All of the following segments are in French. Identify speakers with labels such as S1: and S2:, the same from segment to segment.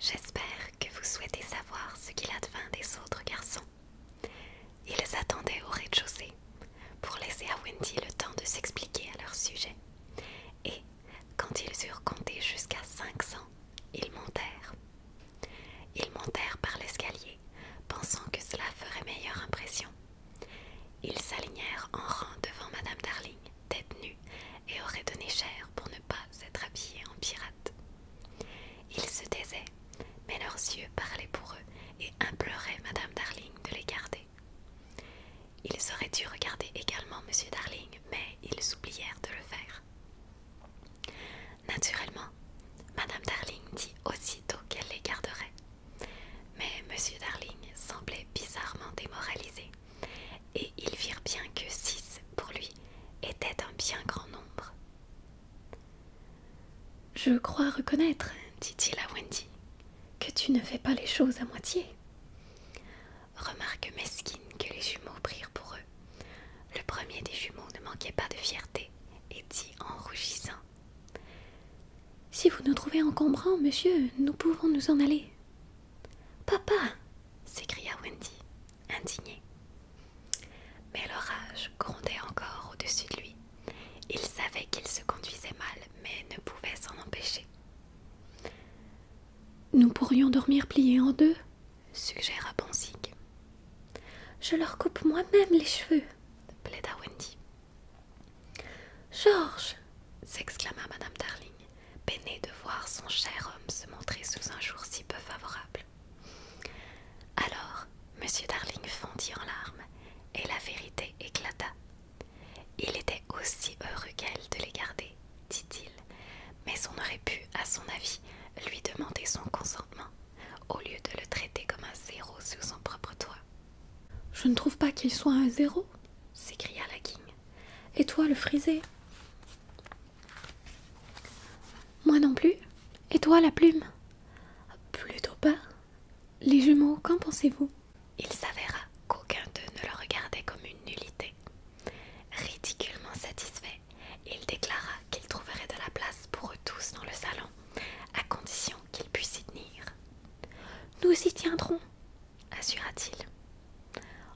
S1: J'espère que vous souhaitez savoir ce qu'il advint des autres garçons. Ils attendaient au rez-de-chaussée pour laisser à Wendy le temps de s'expliquer à leur sujet. Et quand ils eurent compté jusqu'à 500, ils montèrent. Ils montèrent par l'escalier, pensant que cela ferait meilleure impression. Ils s'alignèrent en rang devant Madame Darling tête nues et aurait donné cher pour ne pas s'être habillés en pirate. Ils se taisaient, mais leurs yeux parlaient pour eux et imploraient Madame Darling de les garder. Ils auraient dû regarder également Monsieur Darling, mais ils oublièrent de le faire. Naturellement, Madame Darling dit aussitôt qu'elle les garderait, mais Monsieur Darling semblait bizarrement démoralisé et ils virent bien que six pour lui étaient un bien grand nombre. Je crois reconnaître, dit-il à Wendy, que tu ne fais pas les choses à moitié. Remarque mesquine que les jumeaux prirent pour eux. Le premier des jumeaux ne manquait pas de fierté et dit en rougissant Si vous nous trouvez encombrants, monsieur, nous pouvons nous en aller. Papa s'écria Wendy, indignée. Mais l'orage grondait encore au-dessus de lui. Il savait qu'il se conduisait mal, mais ne pouvait s'en empêcher. Nous pourrions dormir pliés en deux, suggéra Bonsic. Je leur coupe moi-même les cheveux, plaida Wendy. George !» s'exclama Madame Darling. Peiné de voir son cher homme se montrer sous un jour si peu favorable. Alors, Monsieur Darling fondit en larmes, et la vérité éclata. Il était aussi heureux qu'elle de les garder, dit-il, mais on aurait pu, à son avis, lui demander son consentement, au lieu de le traiter comme un zéro sous son propre toit. Je ne trouve pas qu'il soit un zéro, s'écria la King, Et toi, le frisé moi non plus. Et toi, la plume Plutôt pas. Les jumeaux, qu'en pensez-vous Il s'avéra qu'aucun d'eux ne le regardait comme une nullité. Ridiculement satisfait, il déclara qu'il trouverait de la place pour eux tous dans le salon, à condition qu'ils puissent y tenir. Nous y tiendrons, assura-t-il.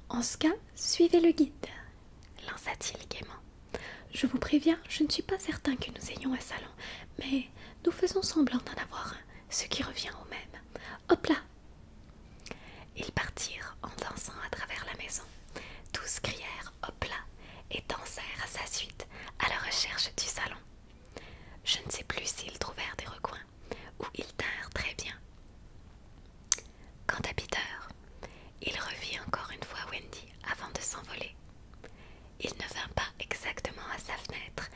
S1: En ce cas, suivez le guide, lança-t-il gaiement. Je vous préviens, je ne suis pas certain que nous ayons un salon, mais nous faisons semblant d'en avoir un, ce qui revient au même. Hop là Ils partirent en dansant à travers la maison. Tous crièrent hop là et dansèrent à sa suite, à la recherche du salon. Je ne sais plus s'ils trouvèrent des recoins, où ils tinrent très bien. Quant à Peter, il revit encore une fois Wendy avant de s'envoler. Il ne vint pas exactement à sa fenêtre,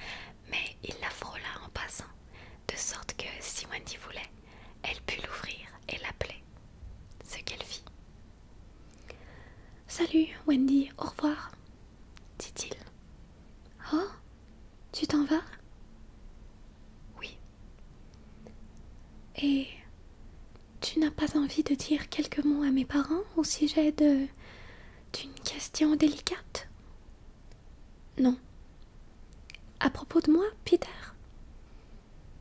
S1: mais il la frôla en passant, de sorte que si Wendy voulait, elle put l'ouvrir et l'appeler, ce qu'elle fit. Salut, Wendy, au revoir, dit-il. Oh, tu t'en vas Oui, et tu n'as pas envie de dire quelques mots à mes parents au sujet d'une question délicate Non. À propos de moi, Peter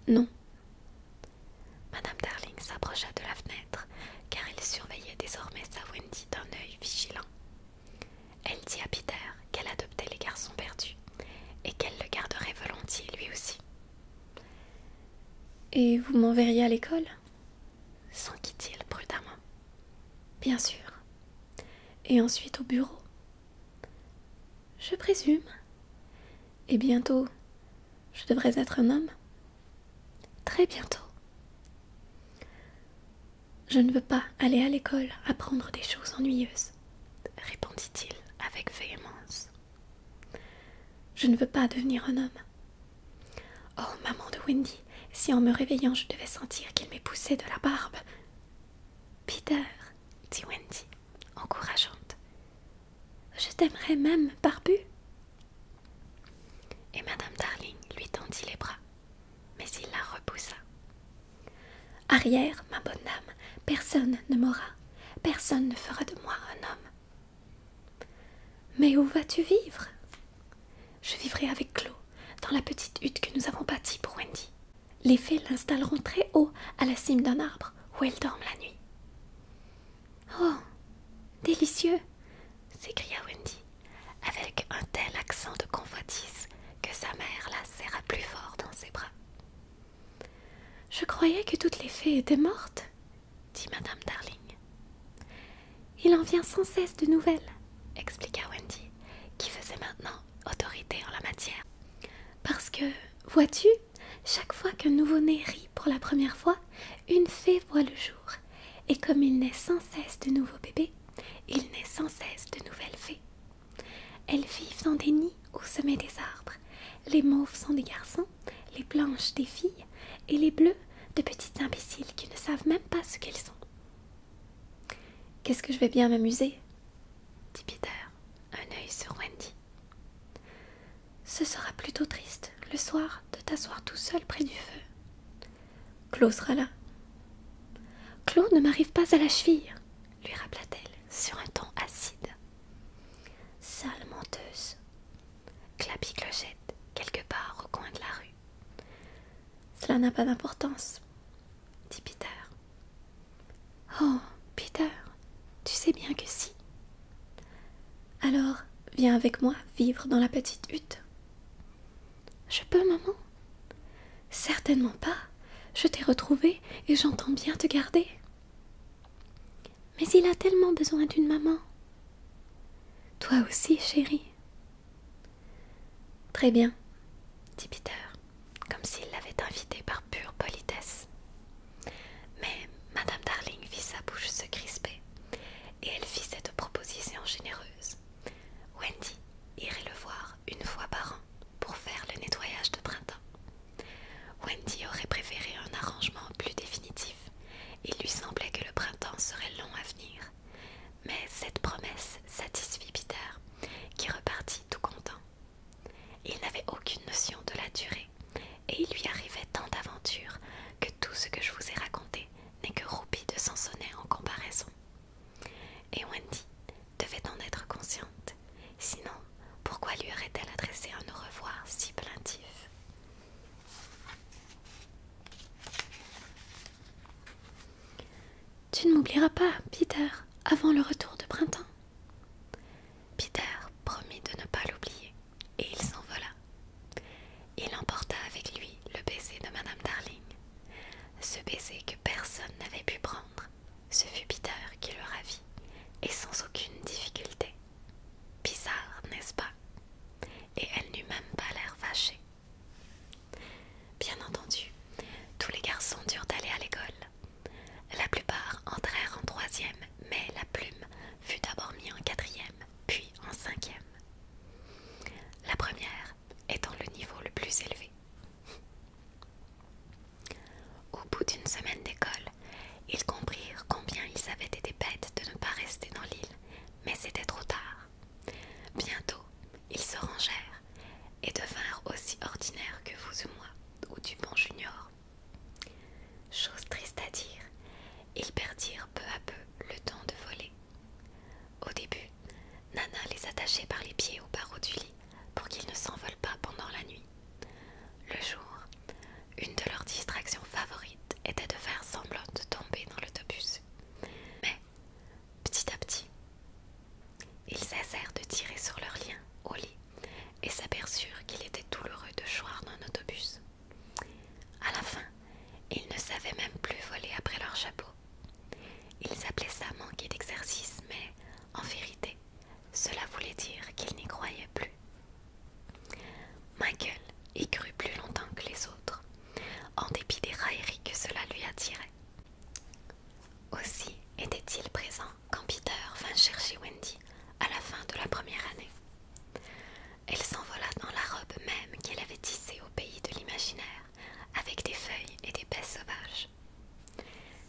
S1: Non. Madame Darling s'approcha de la fenêtre, car elle surveillait désormais sa Wendy d'un œil vigilant. Elle dit à Peter qu'elle adoptait les garçons perdus et qu'elle le garderait volontiers lui aussi. Et vous m'enverriez à l'école s'enquit-il prudemment. Bien sûr. Et ensuite au bureau. Je présume. Et bientôt, je devrais être un homme. Très bientôt. Je ne veux pas aller à l'école apprendre des choses ennuyeuses répondit-il avec véhémence. Je ne veux pas devenir un homme. Oh, maman de Wendy, si en me réveillant je devais sentir qu'il poussé de la barbe. Peter, dit Wendy, encourageante, je t'aimerais même, barbu. Et Madame Darling lui tendit les bras, mais il la repoussa. Arrière, ma bonne dame, personne ne m'aura, personne ne fera de moi un homme. Mais où vas-tu vivre Je vivrai avec Clos, dans la petite hutte que nous avons bâtie pour Wendy. Les fées l'installeront très haut, à la cime d'un arbre, où elle dorment la nuit. Oh Délicieux s'écria Wendy, avec un tel accent de convoitise que sa mère la serra plus fort dans ses bras. Je croyais que toutes les fées étaient mortes, dit Madame Darling. Il en vient sans cesse de nouvelles, expliqua Wendy, qui faisait maintenant autorité en la matière. Parce que, vois-tu, chaque fois qu'un nouveau-né rit pour la première fois, une fée voit le jour. Et comme il naît sans cesse de nouveaux bébés, il naît sans cesse de nouvelles fées. Elles vivent dans des nids au sommet des arbres. Les mauves sont des garçons, les blanches des filles, et les bleus de petites imbéciles qui ne savent même pas ce qu'elles sont. Qu'est-ce que je vais bien m'amuser dit Peter, un œil sur Wendy. Ce sera plutôt triste, le soir, de t'asseoir tout seul près du feu. Claude sera là. Claude ne m'arrive pas à la cheville, lui rappela-t-elle sur un ton acide. Sale menteuse. clapit clochette quelque part au coin de la rue. Cela n'a pas d'importance, dit Peter. Oh, Peter, tu sais bien que si. Alors, viens avec moi vivre dans la petite hutte. Je peux, maman Certainement pas. Je t'ai retrouvée et j'entends bien te garder. Mais il a tellement besoin d'une maman. Toi aussi, chérie. Très bien, dit Peter, comme s'il l'avait invité par pure politesse. Mais Madame Darling vit sa bouche se crisper et elle fit cette proposition généreuse. Wendy irait le voir une fois par an pour faire le nettoyage de printemps. Wendy aurait préféré un arrangement plus définitif. Il lui semblait que le printemps serait long à venir. Mais cette promesse satisfit Peter, qui repartit tout content. Il n'avait aucune notion de la durée, et il lui arrivait tant d'aventures que tout ce que je vous ai raconté n'est que roupie de Sansonnet en comparaison. Et Wendy devait en être consciente, sinon pourquoi lui aurait-elle adressé un au revoir si plaintif Tu ne m'oublieras pas, Peter, avant le retour de printemps. Peter promit de ne pas l'oublier, et il s'envola. Il emporta avec lui le baiser de Madame Darling, ce baiser que personne n'avait pu prendre, ce fut Peter qui le ravit, et sans aucune difficulté. Bizarre, n'est-ce pas Et elle n'eut même pas l'air fâchée. Bien entendu, tous les garçons durent aller à l'école. La plupart entrèrent en troisième, mais la plume fut d'abord mise en quatrième, puis en cinquième. La première étant le niveau le plus élevé. Au bout d'une semaine d'école, ils comprirent combien ils avaient été bêtes de ne pas rester dans l'île, mais c'était trop tard. Bientôt, ils se rangèrent et devinrent aussi ordinaires que vous ou moi, ou Dupont Junior. Chose triste à dire, ils perdirent peu à peu le temps de voler. Au début, Nana les attachait par les pieds aux barreaux du lit pour qu'ils ne s'envolent pas pendant la nuit. Le jour, une de leurs distractions favorites était de faire semblant de tomber dans l'autobus. Mais, petit à petit, ils cessèrent de tirer sur leur lien au lit et s'aperçurent qu'il était douloureux de choir dans un autobus. À la fin, ils ne savaient même plus voler après leur chapeau. Ils appelaient ça manquer d'exercice, mais en vérité, cela voulait dire qu'il n'y croyait plus. Michael y crut plus longtemps que les autres, en dépit des railleries que cela lui attirait. Aussi était-il présent quand Peter vint chercher Wendy à la fin de la première année. Elle s'envola dans la robe même qu'elle avait tissée au pays de l'imaginaire, avec des feuilles et des baies sauvages.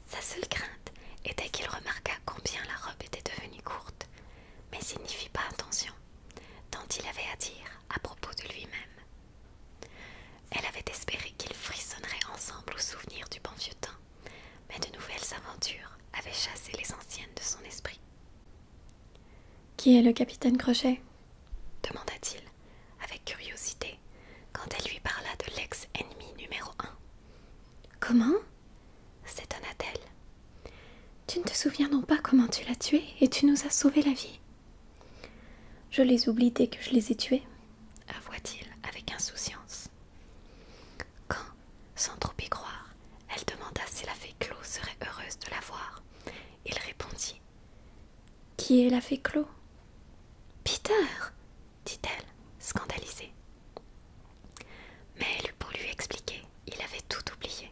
S1: Sa seule crainte était qu'il remarquât combien la robe était devenue courte, mais il n'y fit pas attention, tant il avait à dire à propos de lui-même. Elle avait espéré qu'ils frissonneraient ensemble au souvenir du bon vieux temps, mais de nouvelles aventures avaient chassé les anciennes de son esprit. Qui est le capitaine Crochet demanda-t-il avec curiosité quand elle lui parla de l'ex-ennemi numéro un. Comment s'étonna-t-elle. Tu ne te souviens donc pas comment tu l'as tué et tu nous as sauvé la vie Je les oublie dès que je les ai tués, avoua-t-il avec insouciance. Quand, sans trop y croire, elle demanda si la fée Clo serait heureuse de la voir, il répondit Qui est la fée Clos Peter dit-elle, scandalisée. Mais elle eut pour lui expliquer, il avait tout oublié.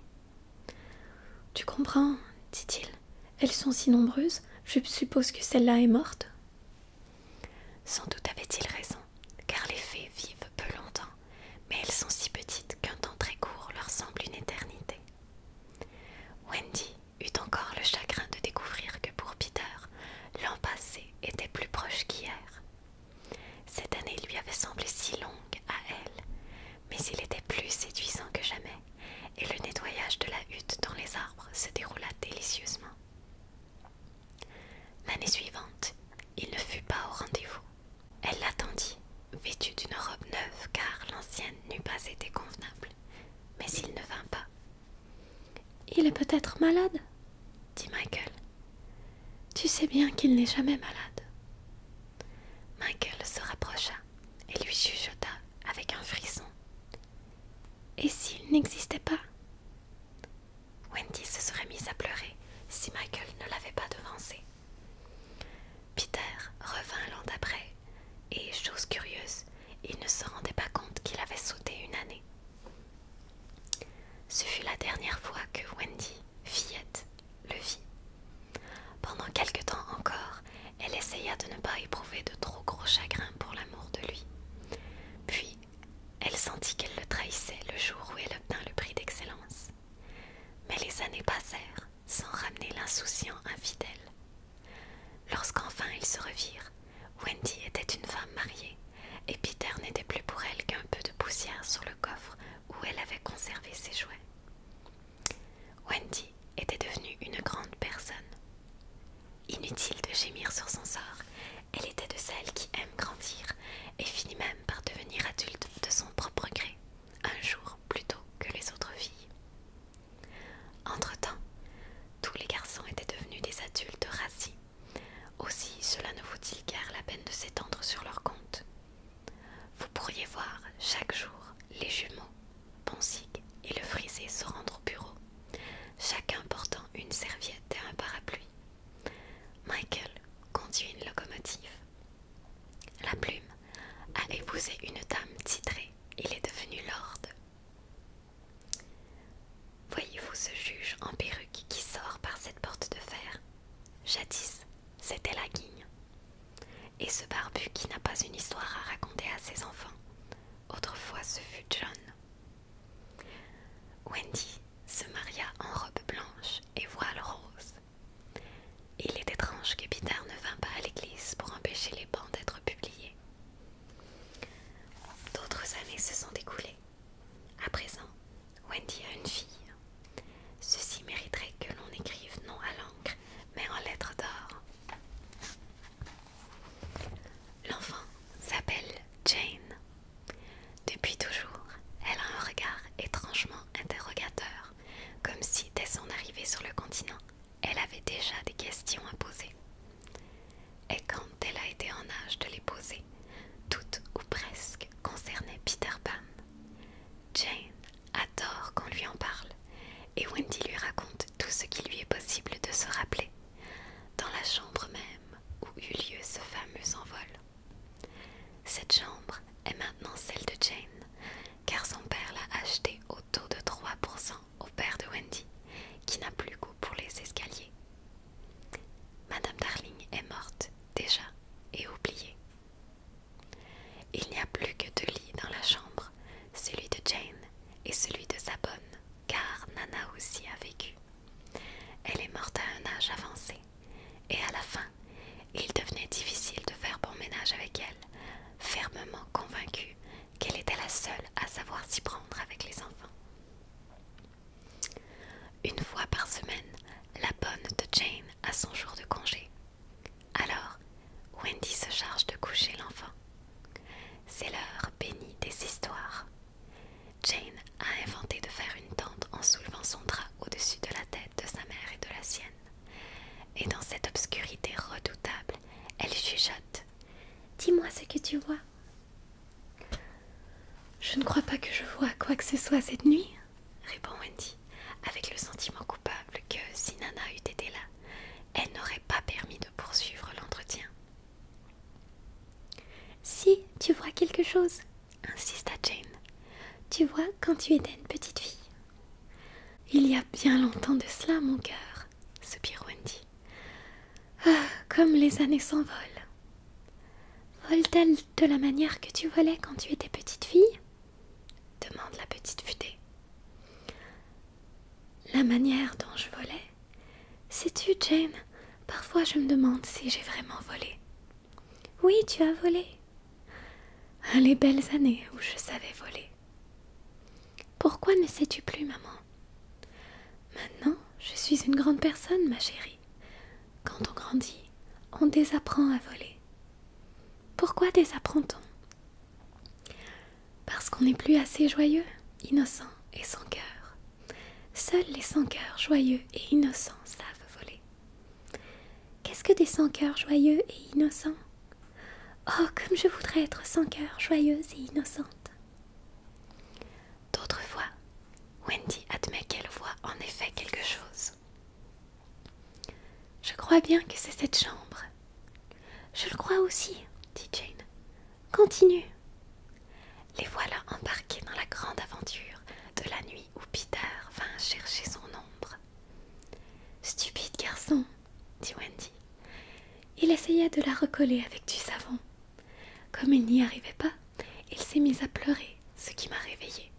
S1: Tu comprends, dit-il, elles sont si nombreuses, je suppose que celle-là est morte. Sans doute avait-il raison, car les fées vivent peu longtemps, mais elles sont si petites qu'un temps très court leur semble une éternité. Wendy eut encore le chagrin de découvrir que, pour Peter, l'an passé était plus proche qu'hier. Cette année lui avait semblé si longue à elle, mais il était plus séduisant que jamais, et le nettoyage de la hutte dans les arbres se déroula délicieusement. L'année suivante, il ne fut pas au rendez-vous. Elle l'attendit, vêtue d'une robe neuve, car l'ancienne n'eût pas été convenable, mais il ne vint pas. Il est peut-être malade, dit Michael. Tu sais bien qu'il n'est jamais malade. Michael se rapprocha et lui chuchota avec un frisson. Et s'il n'existait pas Wendy se serait mise à pleurer si Michael ne l'avait pas devancé. Peter revint l'an d'après et, chose curieuse, il ne se rendait pas compte qu'il avait sauté une année. Ce fut la dernière fois que Wendy, fillette, le vit. Pendant quelque temps encore, elle essaya de ne pas éprouver de trop gros chagrin pour l'amour de lui. Puis, elle sentit qu'elle le trahissait le jour où elle obtint le prix d'excellence. Mais les années passèrent sans ramener l'insouciant infidèle. Lorsqu'enfin ils se revirent, Wendy était une femme mariée, et Peter n'était plus pour elle qu'un peu de poussière sur le coffre où elle avait conservé ses jouets. Wendy était devenue une grande personne. Inutile de gémir sur son sort, elle était de celles qui aiment grandir et finit même par devenir adulte de son propre gré, un jour plus tôt que les autres filles. Entre-temps, tous les garçons étaient devenus des adultes rassis aussi cela ne vaut-il guère la peine de s'étendre sur leur compte. Vous pourriez voir chaque jour les jumeaux, Ponsig et le frisé se rendre au bureau, chacun portant une serviette et un parapluie. Michael conduit une locomotive. La plume a épousé une dame titrée, il est devenu lord Voyez-vous ce juge en perruque qui sort par cette porte de fer Jadis, c'était la guigne. Et ce barbu qui n'a pas une histoire à raconter à ses enfants. Autrefois, ce fut John. Wendy se maria en robe blanche et voile rose. Il est étrange que Peter ne vînt pas à l'église pour empêcher les bans d'être publiés, D'autres années se sont écoulées. À présent, Wendy a une fille. Ceci mériterait que l'on écrive non à l'encre, mais en lettres d'or. L'enfant s'appelle Jane. Depuis toujours, elle a un regard étrangement interrogateur, comme si dès son arrivée sur le continent, elle avait déjà des questions à poser. Et quand elle a été en âge de les poser, toutes ou presque concernaient Peter Pan. Jane adore qu'on lui en parle et Wendy lui raconte tout ce qu'il lui est possible de se rappeler dans la chambre même où eut lieu ce fameux envol. Cette chambre est maintenant celle de Jane car son père l'a achetée au taux de 3% au père de Wendy qui n'a plus goût pour les escaliers Madame Darling est morte déjà et oubliée. Il n'y a plus que deux lits dans la chambre, celui de Jane et celui de sa bonne, car Nana aussi a vécu. Elle est morte à un âge avancé, et à la fin, il devenait difficile de faire bon ménage avec elle, fermement convaincue qu'elle était la seule à savoir s'y prendre avec les enfants. Une fois par semaine, la bonne de Jane a son jour de congé. Alors, Wendy se charge de coucher l'enfant. C'est l'heure bénie des histoires. Jane a inventé de faire une tente en soulevant son drap au-dessus de la tête de sa mère et de la sienne. Et dans cette obscurité redoutable, elle chuchote. Dis-moi ce que tu vois. Je ne crois pas que je vois quoi que ce soit cette nuit, répond Wendy, avec le sentiment coupable que si Nana eût été là, elle n'aurait pas permis de poursuivre l'entretien. Si tu vois quelque chose, insista Jane, tu vois quand tu étais une petite fille. Il y a bien longtemps de cela, mon cœur, soupire Wendy. Ah, comme les années s'envolent. Vole-t-elle de la manière que tu volais quand tu étais petite fille demande la petite futée. La manière dont je volais Sais-tu, Jane, parfois je me demande si j'ai vraiment volé. Oui, tu as volé. Ah, les belles années où je savais voler. Pourquoi ne sais-tu plus, maman Maintenant, je suis une grande personne, ma chérie. Quand on grandit, on désapprend à voler. Pourquoi désapprend-on Parce qu'on n'est plus assez joyeux, innocent et sans cœur. Seuls les sans-cœurs joyeux et innocents savent voler. Qu'est-ce que des sans-cœurs joyeux et innocents Oh, comme je voudrais être sans cœur, joyeuse et innocente. D'autres fois, Wendy admet qu'elle voit en effet quelque chose. Je crois bien que c'est cette chambre. Je le crois aussi, dit Jane. Continue. Les voilà embarqués dans la grande aventure de la nuit où Peter vint chercher son ombre. Stupide garçon, dit Wendy. Il essaya de la recoller avec du savon, comme il n'y arrivait pas, il s'est mis à pleurer, ce qui m'a réveillée.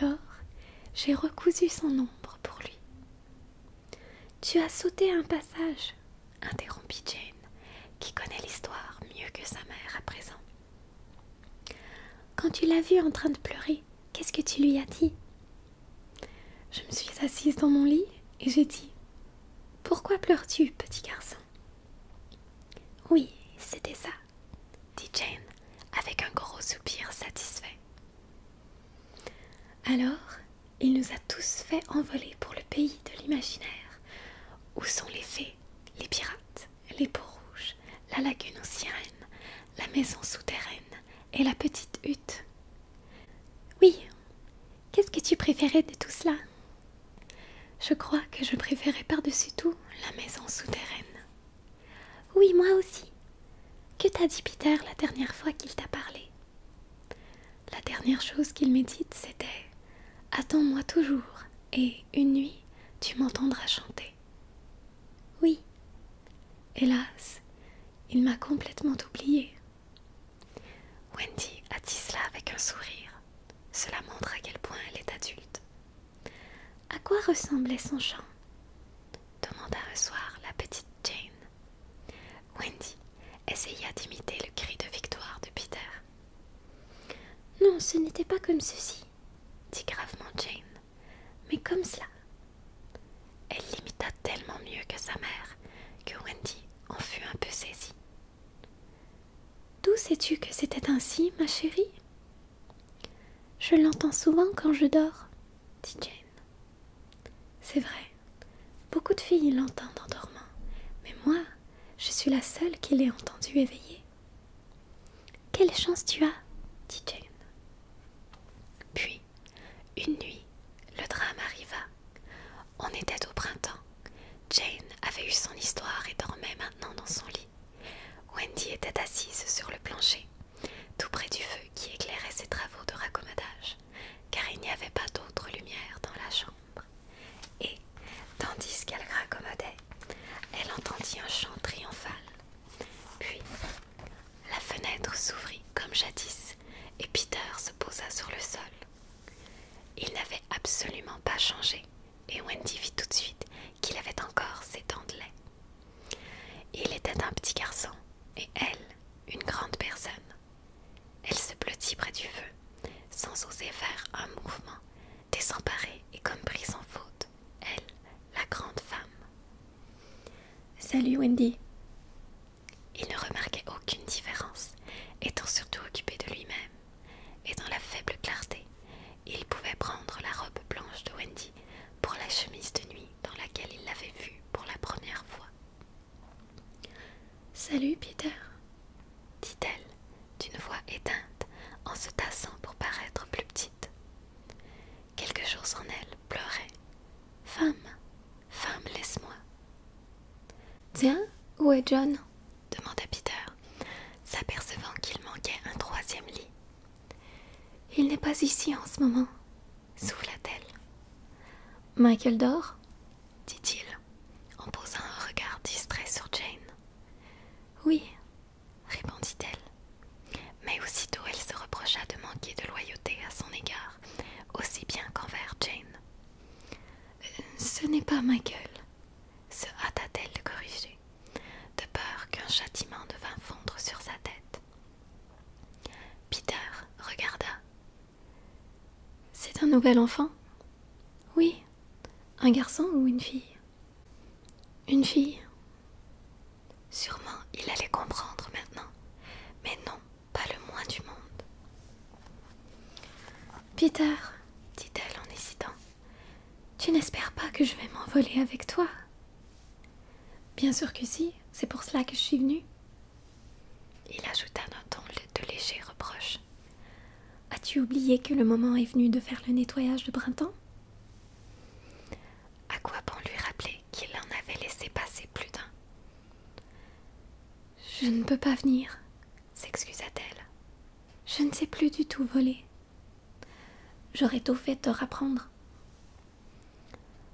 S1: Alors, j'ai recousu son ombre pour lui. Tu as sauté un passage, interrompit Jane, qui connaît l'histoire mieux que sa mère à présent. Quand tu l'as vu en train de pleurer, qu'est-ce que tu lui as dit Je me suis assise dans mon lit et j'ai dit Pourquoi pleures-tu, petit garçon oui, c'était ça, dit Jane avec un gros soupir satisfait. Alors, il nous a tous fait envoler pour le pays de l'imaginaire, où sont les fées, les pirates, les peaux rouges, la lagune aux sirènes, la maison souterraine et la petite hutte. Oui, qu'est-ce que tu préférais de tout cela je crois que je préférais par-dessus tout la maison souterraine. Oui, moi aussi. Que t'a dit Peter la dernière fois qu'il t'a parlé La dernière chose qu'il m'ait dite, c'était Attends-moi toujours, et une nuit, tu m'entendras chanter. Oui. Hélas, il m'a complètement oubliée. » Wendy a dit cela avec un sourire. Cela montre à quel point elle est adulte. À quoi ressemblait son chant demanda un soir la petite Jane. Wendy essaya d'imiter le cri de victoire de Peter. Non, ce n'était pas comme ceci, dit gravement Jane, mais comme cela. Elle l'imita tellement mieux que sa mère que Wendy en fut un peu saisie. D'où sais-tu que c'était ainsi, ma chérie Je l'entends souvent quand je dors, dit Jane. C'est vrai, beaucoup de filles l'entendent en dormant, mais moi, je suis la seule qui l'ai entendu éveiller Quelle chance tu as, dit Jane. Puis, une nuit, le drame arriva. On était au printemps. Jane avait eu son histoire et dormait maintenant dans son lit. Wendy était assise sur le plancher, tout près du feu qui éclairait ses travaux de raccommodage, car il n'y avait pas d'autre lumière dans la chambre. Et, tandis qu'elle raccommodait, elle entendit un chant triomphal. Puis, la fenêtre s'ouvrit comme jadis, et Peter se posa sur le sol, il n'avait absolument pas changé et Wendy vit tout de suite qu'il avait encore ses dents de lait. Il était un petit garçon et elle, une grande personne. Elle se blottit près du feu, sans oser faire un mouvement, désemparée et comme prise en faute, elle, la grande femme. Salut Wendy. Il ne remarquait aucune différence, étant surtout occupé de lui-même et dans la faible clarté, il pouvait prendre la robe blanche de Wendy pour la chemise de nuit dans laquelle il l'avait vue pour la première fois. Salut, Peter, dit-elle d'une voix éteinte en se tassant pour paraître plus petite. Quelque chose en elle pleurait. Femme, femme, laisse-moi. Tiens, où est John demanda Peter, s'apercevant qu'il manquait un troisième lit. Il n'est pas ici en ce moment, souffla-t-elle. Michael dort dit-il, en posant un regard distrait sur Jane. Oui, répondit-elle. Mais aussitôt elle se reprocha de manquer de loyauté à son égard, aussi bien qu'envers Jane. Euh, ce n'est pas Michael, se hâta-t-elle de corriger, de peur qu'un châtiment vînt fondre sur sa tête. Peter regarda. C'est un nouvel enfant Oui. Un garçon ou une fille Une fille. Sûrement il allait comprendre maintenant, mais non, pas le moins du monde. Peter, dit-elle en hésitant, tu n'espères pas que je vais m'envoler avec toi Bien sûr que si, c'est pour cela que je suis venue. Il ajouta d'un ton de léger reproche. As-tu oublié que le moment est venu de faire le nettoyage de printemps À quoi bon lui rappeler qu'il en avait laissé passer plus d'un je ne peux pas venir, s'excusa-t-elle. Je ne sais plus du tout voler. J'aurais tout fait te rapprendre.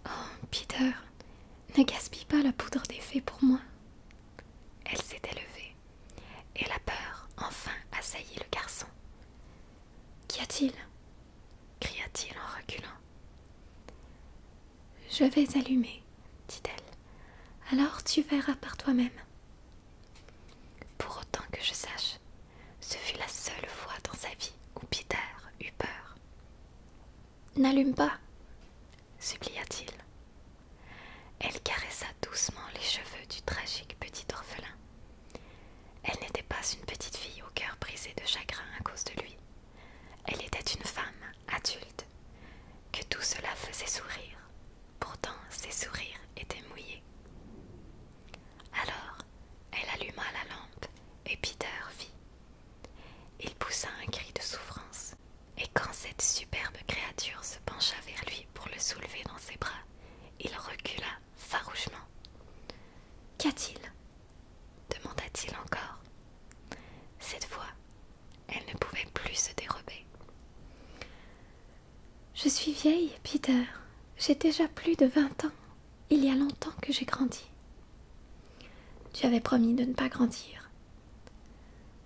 S1: Oh, Peter, ne gaspille pas la poudre des fées pour moi. Elle s'était levée, et la peur enfin assaillit le garçon. Qu'y a-t-il cria-t-il en reculant. Je vais allumer, dit-elle. Alors tu verras par toi-même. Pour autant que je sache, ce fut la seule fois dans sa vie où Peter eut peur. N'allume pas, supplia-t-il. Elle caressa doucement les cheveux du tragique petit orphelin. Elle n'était pas une petite fille au cœur brisé de chagrin à cause de lui. Elle était une femme adulte, que tout cela faisait sourire, Pourtant, ses sourires étaient mouillés. Alors, elle alluma la lampe et Peter vit. Il poussa un cri de souffrance, et quand cette superbe créature se pencha vers lui pour le soulever dans ses bras, il recula farouchement. Qu'y a-t-il demanda-t-il encore. Cette fois, elle ne pouvait plus se dérober. Je suis vieille, Peter. J'ai déjà plus de vingt ans. Il y a longtemps que j'ai grandi. Tu avais promis de ne pas grandir.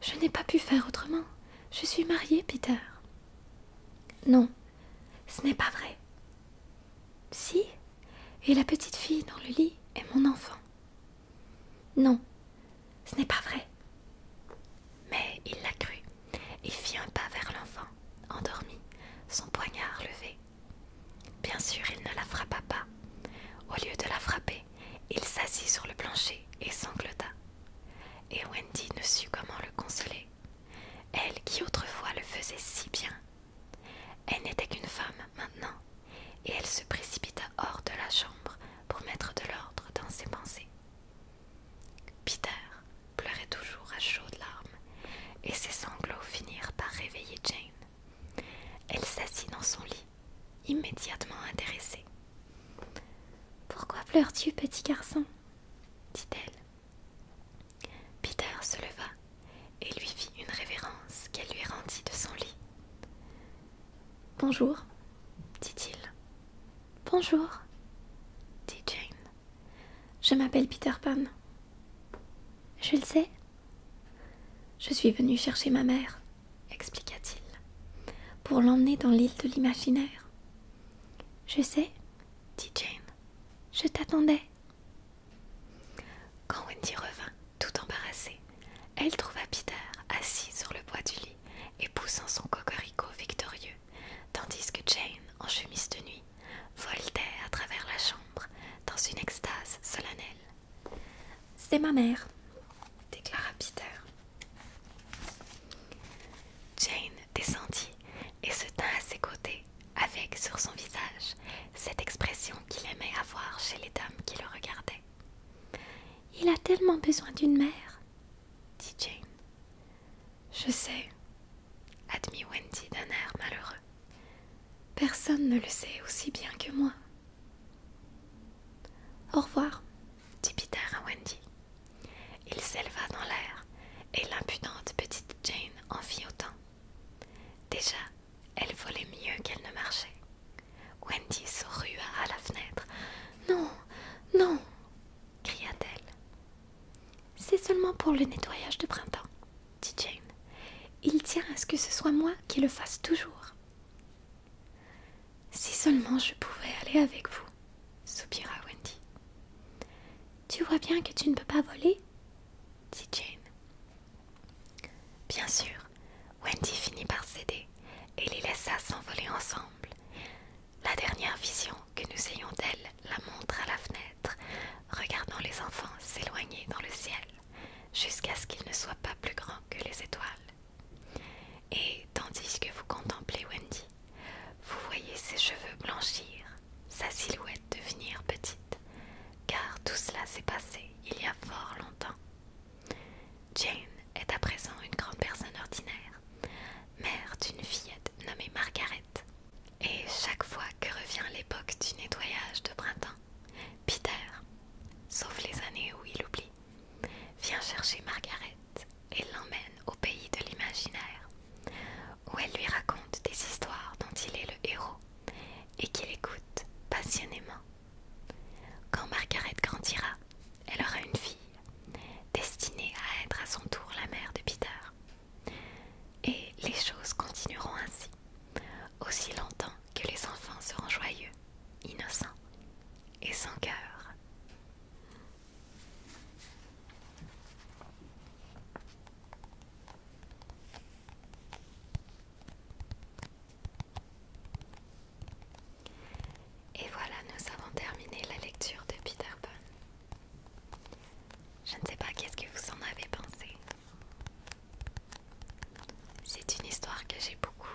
S1: Je n'ai pas pu faire autrement. Je suis mariée, Peter. Non, ce n'est pas vrai. Si, et la petite fille dans le lit est mon enfant. Non, ce n'est pas vrai. Mais il la crut et fit un pas vers l'enfant, endormi, son poignard levé. Bien sûr, il ne la frappa pas. Au lieu de la frapper, il s'assit sur le plancher et sanglota. Et Wendy ne sut comment le consoler. Elle qui autrefois le faisait si bien. Elle n'était qu'une femme maintenant, et elle se précipita hors de la chambre pour mettre de l'ordre dans ses pensées. Peter pleurait toujours à chaudes larmes et ses sanglots finirent par réveiller Jane. Elle s'assit dans son lit, immédiatement intéressée. Pourquoi pleures-tu, petit garçon dit-elle. Peter se leva et lui fit une révérence qu'elle lui rendit de son lit. Bonjour, dit-il. Bonjour, dit Jane. Je m'appelle Peter Pan. Je le sais. Je suis venu chercher ma mère, expliqua-t-il, pour l'emmener dans l'île de l'imaginaire. Je sais, dit Jane. Je t'attendais. Quand Wendy revint, tout embarrassée, elle trouva Peter assis sur le bois du lit et poussant son cocorico victorieux, tandis que Jane, en chemise de nuit, voltait à travers la chambre dans une extase solennelle. C'est ma mère, déclara Peter. Jane descendit et se tint à ses côtés, avec sur son visage cette expression qu'il aimait avoir chez les dames qui le regardaient. Il a tellement besoin d'une mère, dit Jane. Je sais, admit Wendy d'un air malheureux. Personne ne le sait aussi bien que moi. Au revoir, dit Peter à Wendy. Il s'éleva dans l'air et l'impudente petite Jane en fit autant. Déjà, elle volait mieux qu'elle ne marchait. Wendy se rua à la fenêtre. Non, non, cria-t-elle. C'est seulement pour le nettoyage de printemps, dit Jane. Il tient à ce que ce soit moi qui le fasse toujours. Si seulement je pouvais aller avec vous, soupira Wendy. Tu vois bien que tu ne peux pas voler dit Jane. Bien sûr, Wendy finit par céder et les laissa s'envoler ensemble. La dernière vision que nous ayons d'elle la montre à la fenêtre, regardant les enfants s'éloigner dans le ciel, jusqu'à ce qu'ils ne soient pas plus grands que les étoiles. Et tandis que vous contemplez Wendy, vous voyez ses cheveux blanchir, sa silhouette devenir petite, car tout cela s'est passé il y a fort longtemps. Jane est à présent une grande personne ordinaire, mère d'une fillette nommée Margaret. Et chaque fois que revient l'époque du nettoyage de printemps, Peter, sauf les années où il oublie, vient chercher Margaret et l'emmène au pays de l'imaginaire, où elle lui raconte des histoires dont il est le héros et qu'il écoute passionnément. Quand Margaret grandira, elle aura une fille, destinée à être à son tour la mère de Peter. Et les choses continueront ainsi, aussi longtemps que les enfants seront joyeux, innocents et sans cœur. Et voilà, nous avons terminé la lecture de Peter Pan. Je ne sais pas qu'est-ce que vous en avez pensé. C'est une histoire que j'ai beaucoup,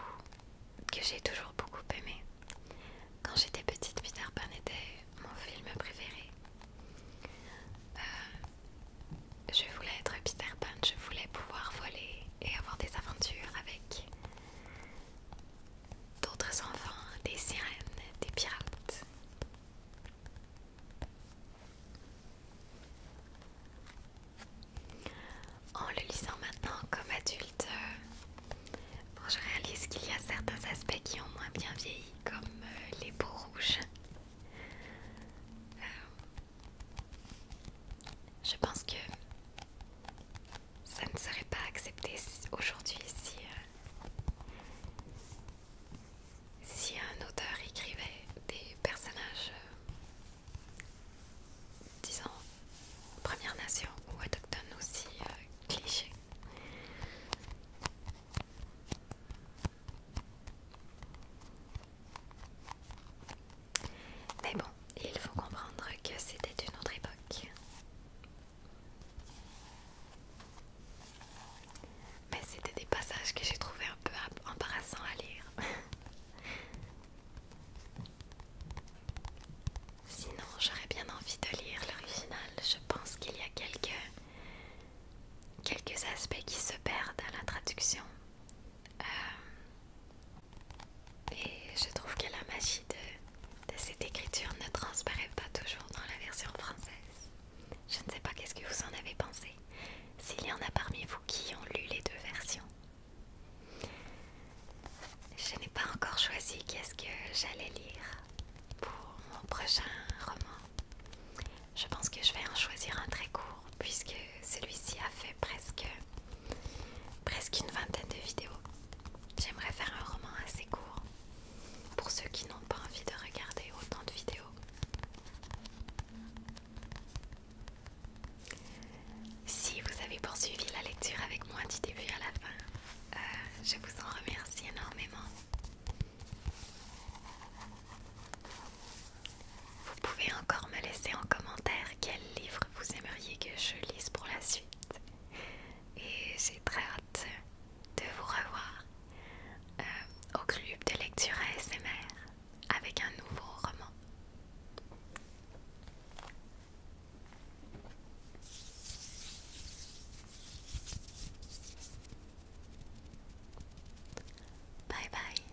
S1: que j'ai toujours beaucoup aimée. Quand j'étais petite, Peter Pan était mon film préféré. Euh, je voulais être Peter Pan, je voulais pouvoir voler et avoir des aventures avec d'autres enfants, des sirènes, des pirates. En le lisant maintenant comme adulte, je réalise qu'il y a certains aspects qui ont moins bien vieilli, comme euh, les peaux rouges. Euh, je pense que ça ne serait pas accepté aujourd'hui si, euh, si un auteur écrivait des personnages, euh, disons, Première Nation ou autochtones aussi euh, clichés. Mais bon, il faut comprendre que c'était une autre époque. Mais c'était des passages que j'ai trouvé un peu embarrassants à lire. Sinon, j'aurais bien envie de lire l'original. Je pense qu'il y a quelques, quelques aspects qui se perdent à la traduction. Euh, et je trouve que la magie de, de cette écriture ne transparaît pas toujours dans la version française. Je ne sais pas qu'est-ce que vous en avez pensé, s'il y en a parmi vous qui ont lu les deux versions. Je n'ai pas encore choisi qu'est-ce que j'allais lire pour mon prochain roman. Je pense que je vais en choisir un très court puisque celui-ci a fait presque presque une vingtaine de vidéos. J'aimerais faire un roman assez court pour ceux qui n'ont pas envie de regarder autant de vidéos. Si vous avez poursuivi la lecture avec moi du début à la fin, euh, je vous en remercie énormément. Vous pouvez encore me laisser en commentaire quel livre vous aimeriez que je lise pour la suite et j'ai très hâte de vous revoir euh, au club de lecture ASMR avec un nouveau roman. Bye bye.